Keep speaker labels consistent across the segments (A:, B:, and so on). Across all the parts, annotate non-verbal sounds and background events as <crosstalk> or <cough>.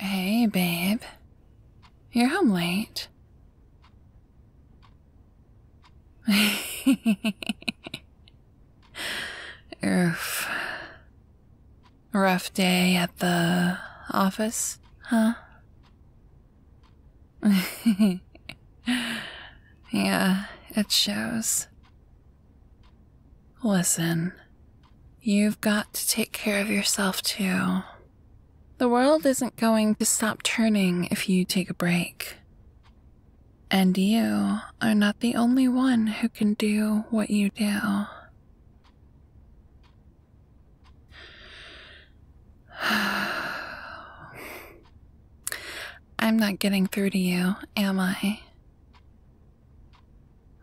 A: Hey, babe. You're home late. <laughs> Oof. Rough day at the office, huh? <laughs> yeah, it shows. Listen, you've got to take care of yourself too. The world isn't going to stop turning if you take a break. And you are not the only one who can do what you do. <sighs> I'm not getting through to you, am I?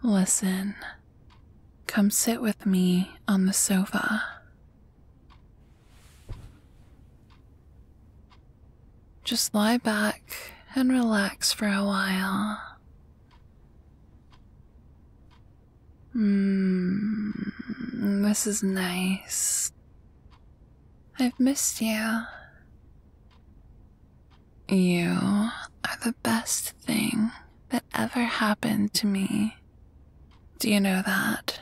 A: Listen, come sit with me on the sofa. Just lie back and relax for a while. Mmm. this is nice. I've missed you. You are the best thing that ever happened to me. Do you know that?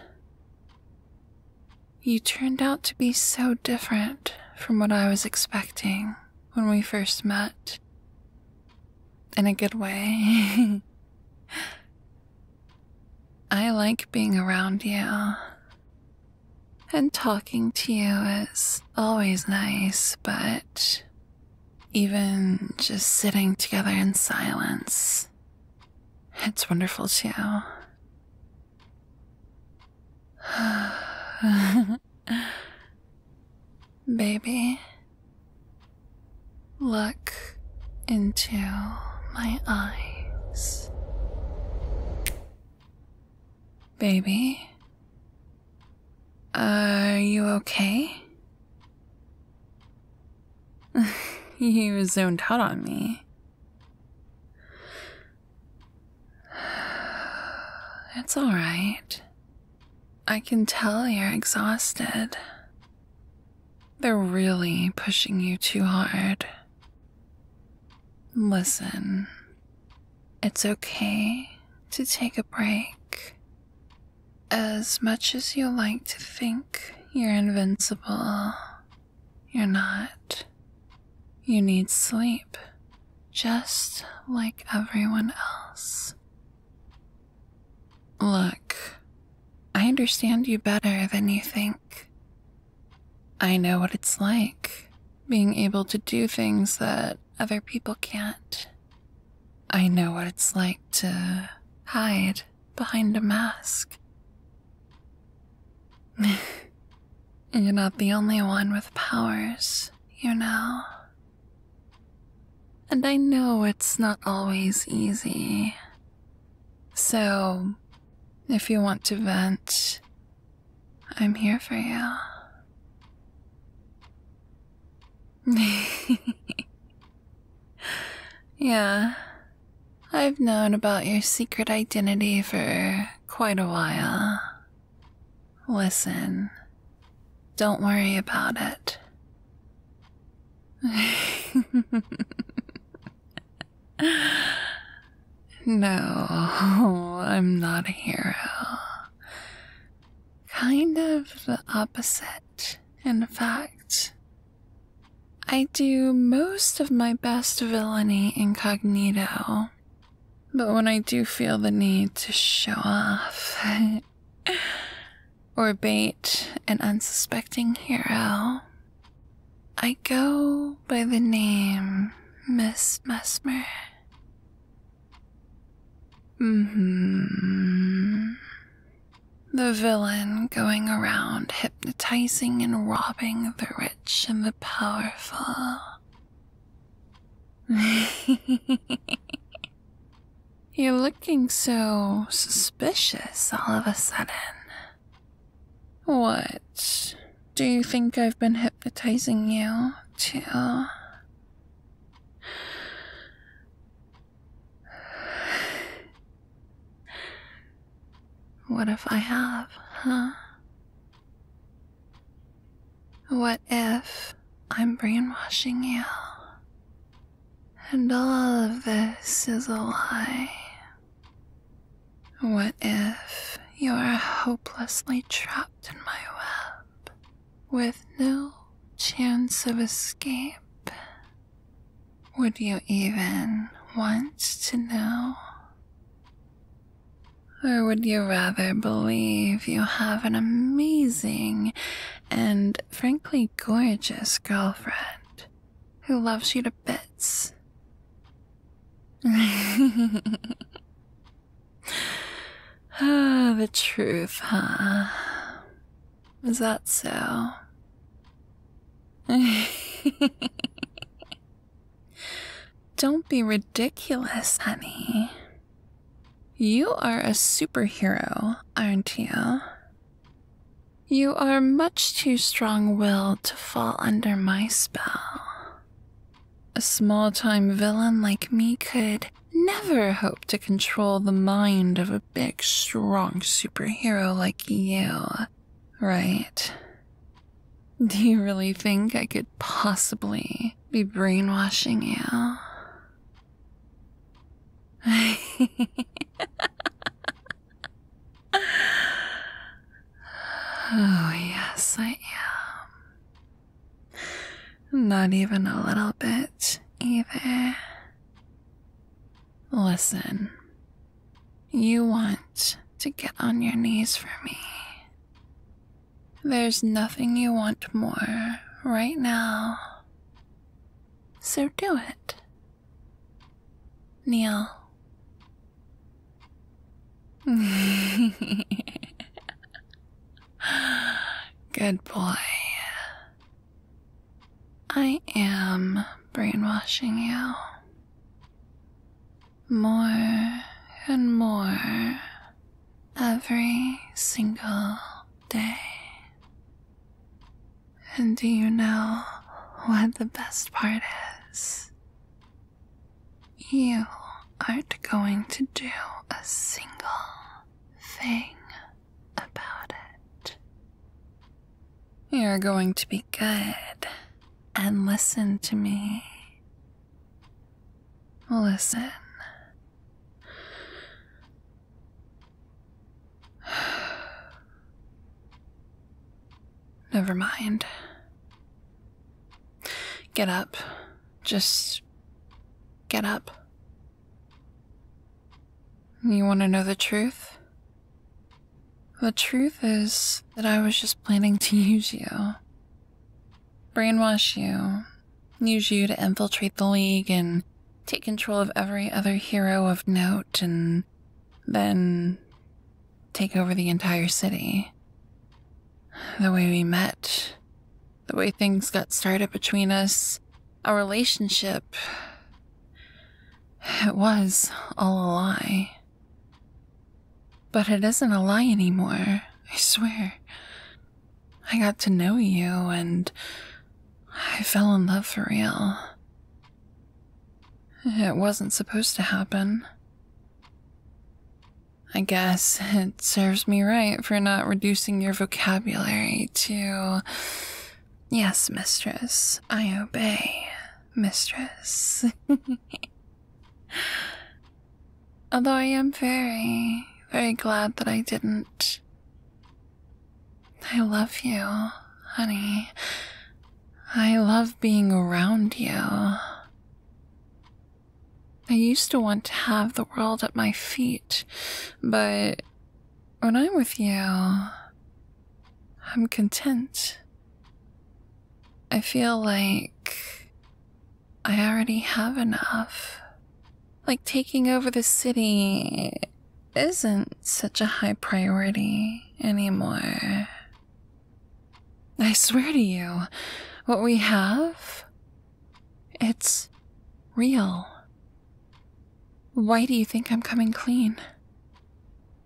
A: You turned out to be so different from what I was expecting when we first met. In a good way. <laughs> I like being around you. And talking to you is always nice, but even just sitting together in silence, it's wonderful too. <sighs> Baby, Look into my eyes. Baby, are you okay? <laughs> you zoned out on me. <sighs> It's alright. I can tell you're exhausted. They're really pushing you too hard. Listen, it's okay to take a break. As much as you like to think you're invincible, you're not. You need sleep, just like everyone else. Look, I understand you better than you think. I know what it's like being able to do things that other people can't. I know what it's like to hide behind a mask. <laughs> You're not the only one with powers, you know. And I know it's not always easy so, if you want to vent, I'm here for you. <laughs> yeah, I've known about your secret identity for quite a while. Listen, don't worry about it. <laughs> no, I'm not a hero. Kind of the opposite, in fact. I do most of my best villainy incognito, but when I do feel the need to show off, <laughs> <sighs> or bait an unsuspecting hero. I go by the name Miss Mesmer. Mm-hmm. The villain going around hypnotizing and robbing the rich and the powerful. <laughs> You're looking so suspicious all of a sudden. What? Do you think I've been hypnotizing you to. <sighs> What if I have, huh? What if I'm brainwashing you? And all of this is a lie. What if you are hopelessly trapped in my web with no chance of escape? Would you even want to know? Or would you rather believe you have an amazing and frankly gorgeous girlfriend who loves you to bits. <laughs> Ah, the truth, huh? Is that so? <laughs> Don't be ridiculous, honey. You are a superhero, aren't you? You are much too strong willed to fall under my spell. A small time villain like me could never hope to control the mind of a big, strong superhero like you, right? Do you really think I could possibly be brainwashing you? oh, yes, I am. Not even a little bit, either. Listen, you want to get on your knees for me. There's nothing you want more right now so do it. Neil. <laughs> Good boy. I am brainwashing you more and more every single day. And do you know what the best part is? You aren't going to do a single thing about it. You're going to be good and listen to me. Listen. <sighs> Never mind. Get up. Just get up. You want to know the truth? The truth is that I was just planning to <laughs> use you, brainwash you, use you to infiltrate the League and take control of every other hero of note and then take over the entire city. The way we met, the way things got started between us, our relationship. It was all a lie. But it isn't a lie anymore, I swear. I got to know you and I fell in love for real. It wasn't supposed to happen. I guess it serves me right for not reducing your vocabulary to. Yes, mistress, I obey, mistress. <laughs> Although I am very, very glad that I didn't. I love you, honey. I love being around you. I used to want to have the world at my feet, but when I'm with you, I'm content. I feel like I already have enough. Like taking over the city isn't such a high priority anymore. I swear to you, what we have, it's real. Why do you think I'm coming clean?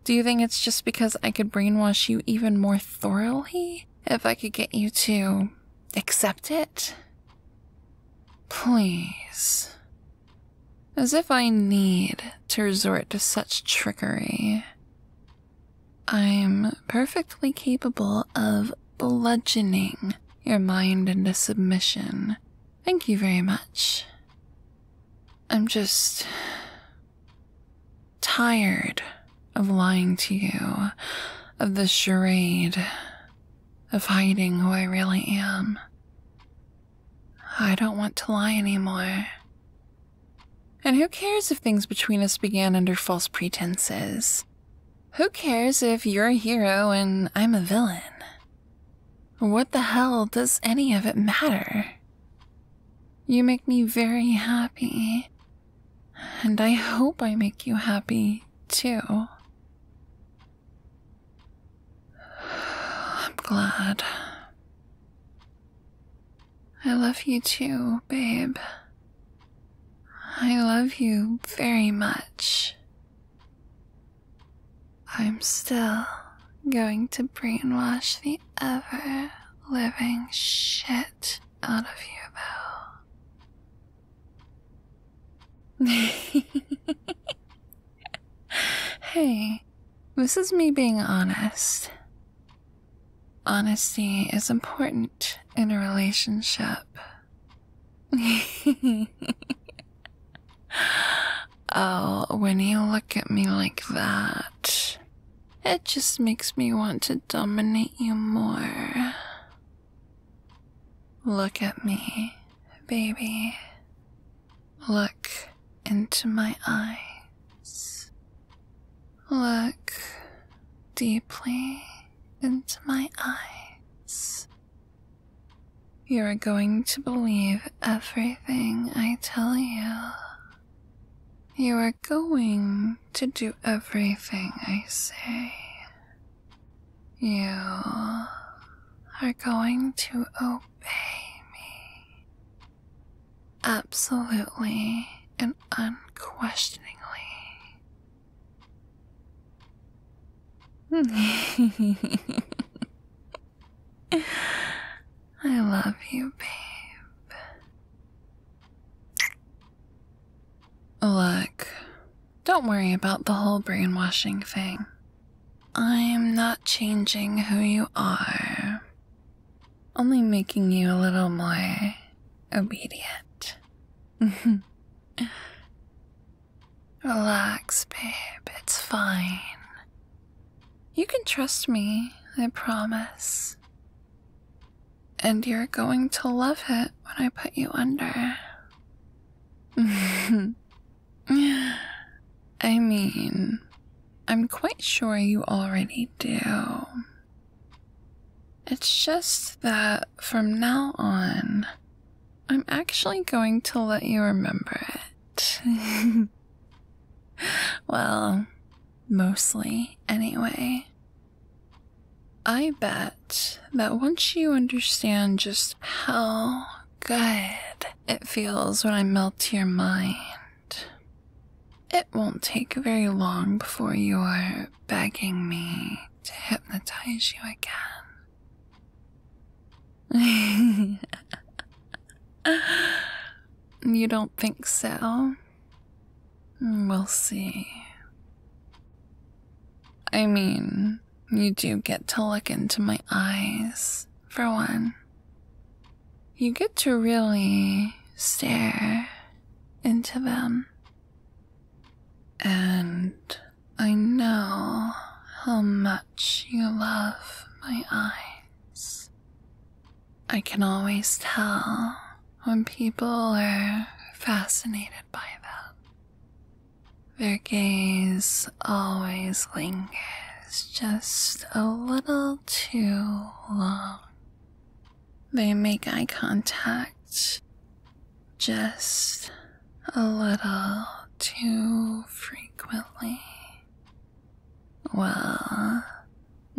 A: Do you think it's just because I could brainwash you even more thoroughly if I could get you to accept it? Please. As if I need to resort to such trickery. I'm perfectly capable of bludgeoning your mind into submission. Thank you very much. I'm just tired of lying to you, of the charade, of hiding who I really am. I don't want to lie anymore. And who cares if things between us began under false pretenses? Who cares if you're a hero and I'm a villain? What the hell does any of it matter? You make me very happy, and I hope I make you happy, too. I'm glad. I love you too, babe. I love you very much. I'm still going to brainwash the ever living shit out of you, though. <laughs> hey, this is me being honest. Honesty is important in a relationship. <laughs> oh, when you look at me like that, it just makes me want to dominate you more. Look at me, baby. Look into my eyes. Look deeply into my eyes. You are going to believe everything I tell you. You are going to do everything I say. You are going to obey me. Absolutely and unquestioningly. <laughs> I love you, babe. Look, don't worry about the whole brainwashing thing. I'm not changing who you are, only making you a little more obedient. <laughs> Relax, babe, it's fine. You can trust me, I promise. And you're going to love it when I put you under. <laughs> I mean, I'm quite sure you already do. It's just that from now on, I'm actually going to let you remember it. <laughs> well, mostly, anyway. I bet that once you understand just how good it feels when I melt your mind, it won't take very long before you're begging me to hypnotize you again. <laughs> you don't think so? We'll see. I mean, you do get to look into my eyes, for one. You get to really stare into them. And I know how much you love my eyes. I can always tell when people are fascinated by them. Their gaze always lingers just a little too long. They make eye contact just a little too frequently. Well, <laughs>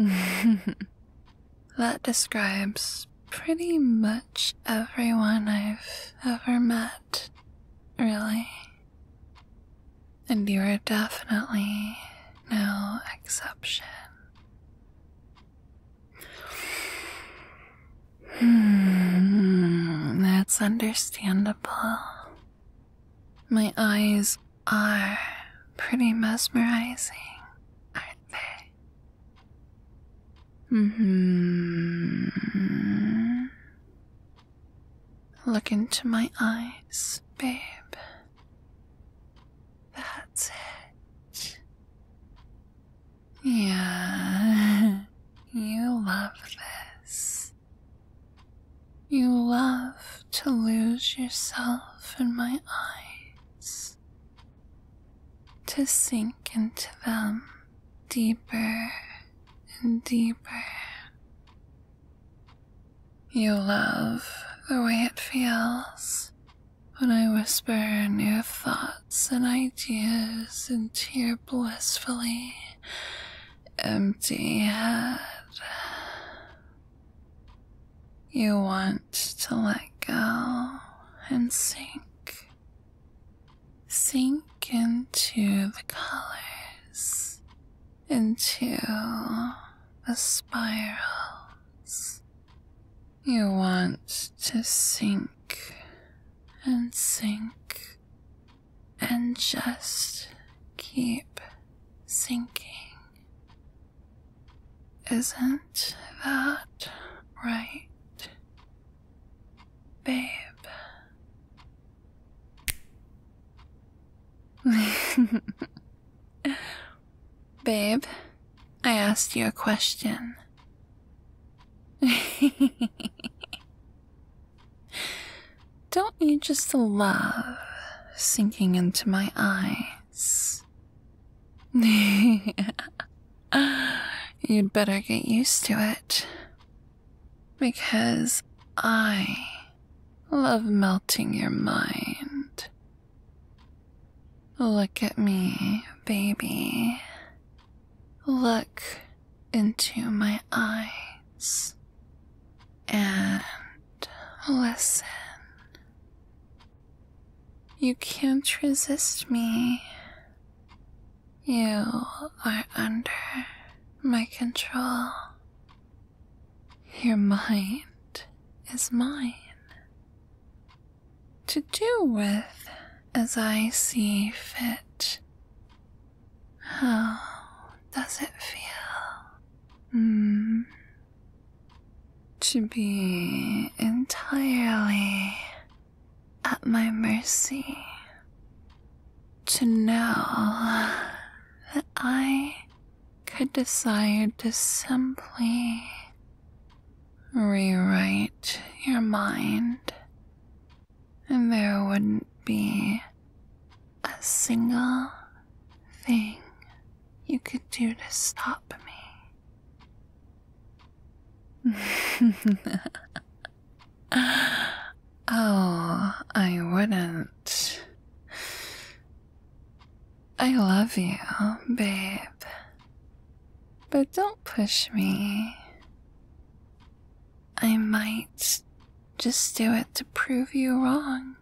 A: that describes pretty much everyone I've ever met, really. And you are definitely no exception. Hmm, that's understandable. My eyes are pretty mesmerizing, aren't they? Mm-hmm. Look into my eyes, babe. That's it. Yeah, <laughs> you love this. You love to lose yourself in my eyes, to sink into them deeper and deeper. You love the way it feels when I whisper new thoughts and ideas into your blissfully empty head. You want to let go and sink. Sink into the colors, into the spirals. You want to sink and sink and just keep sinking. Isn't that right, babe? <laughs> babe, I asked you a question. <laughs> Don't you just love sinking into my eyes? <laughs> You'd better get used to it. Because I love melting your mind. Look at me, baby. Look into my eyes. And listen. You can't resist me. You are under my control. Your mind is mine. To do with as I see fit. How <sighs> does it feel? Mm. To be entirely at my mercy. To know that I could decide to simply rewrite your mind, and there wouldn't be a single thing you could do to stop me. <laughs> oh, I wouldn't. I love you, babe. But don't push me. I might just do it to prove you wrong.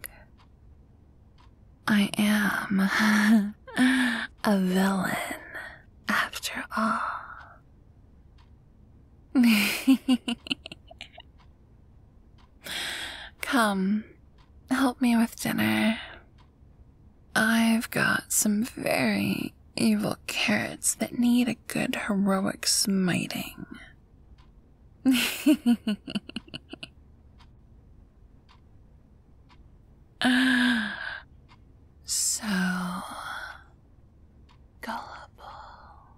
A: I am <laughs> a villain, after all. <laughs> Come, help me with dinner. I've got some very evil carrots that need a good heroic smiting so gullible.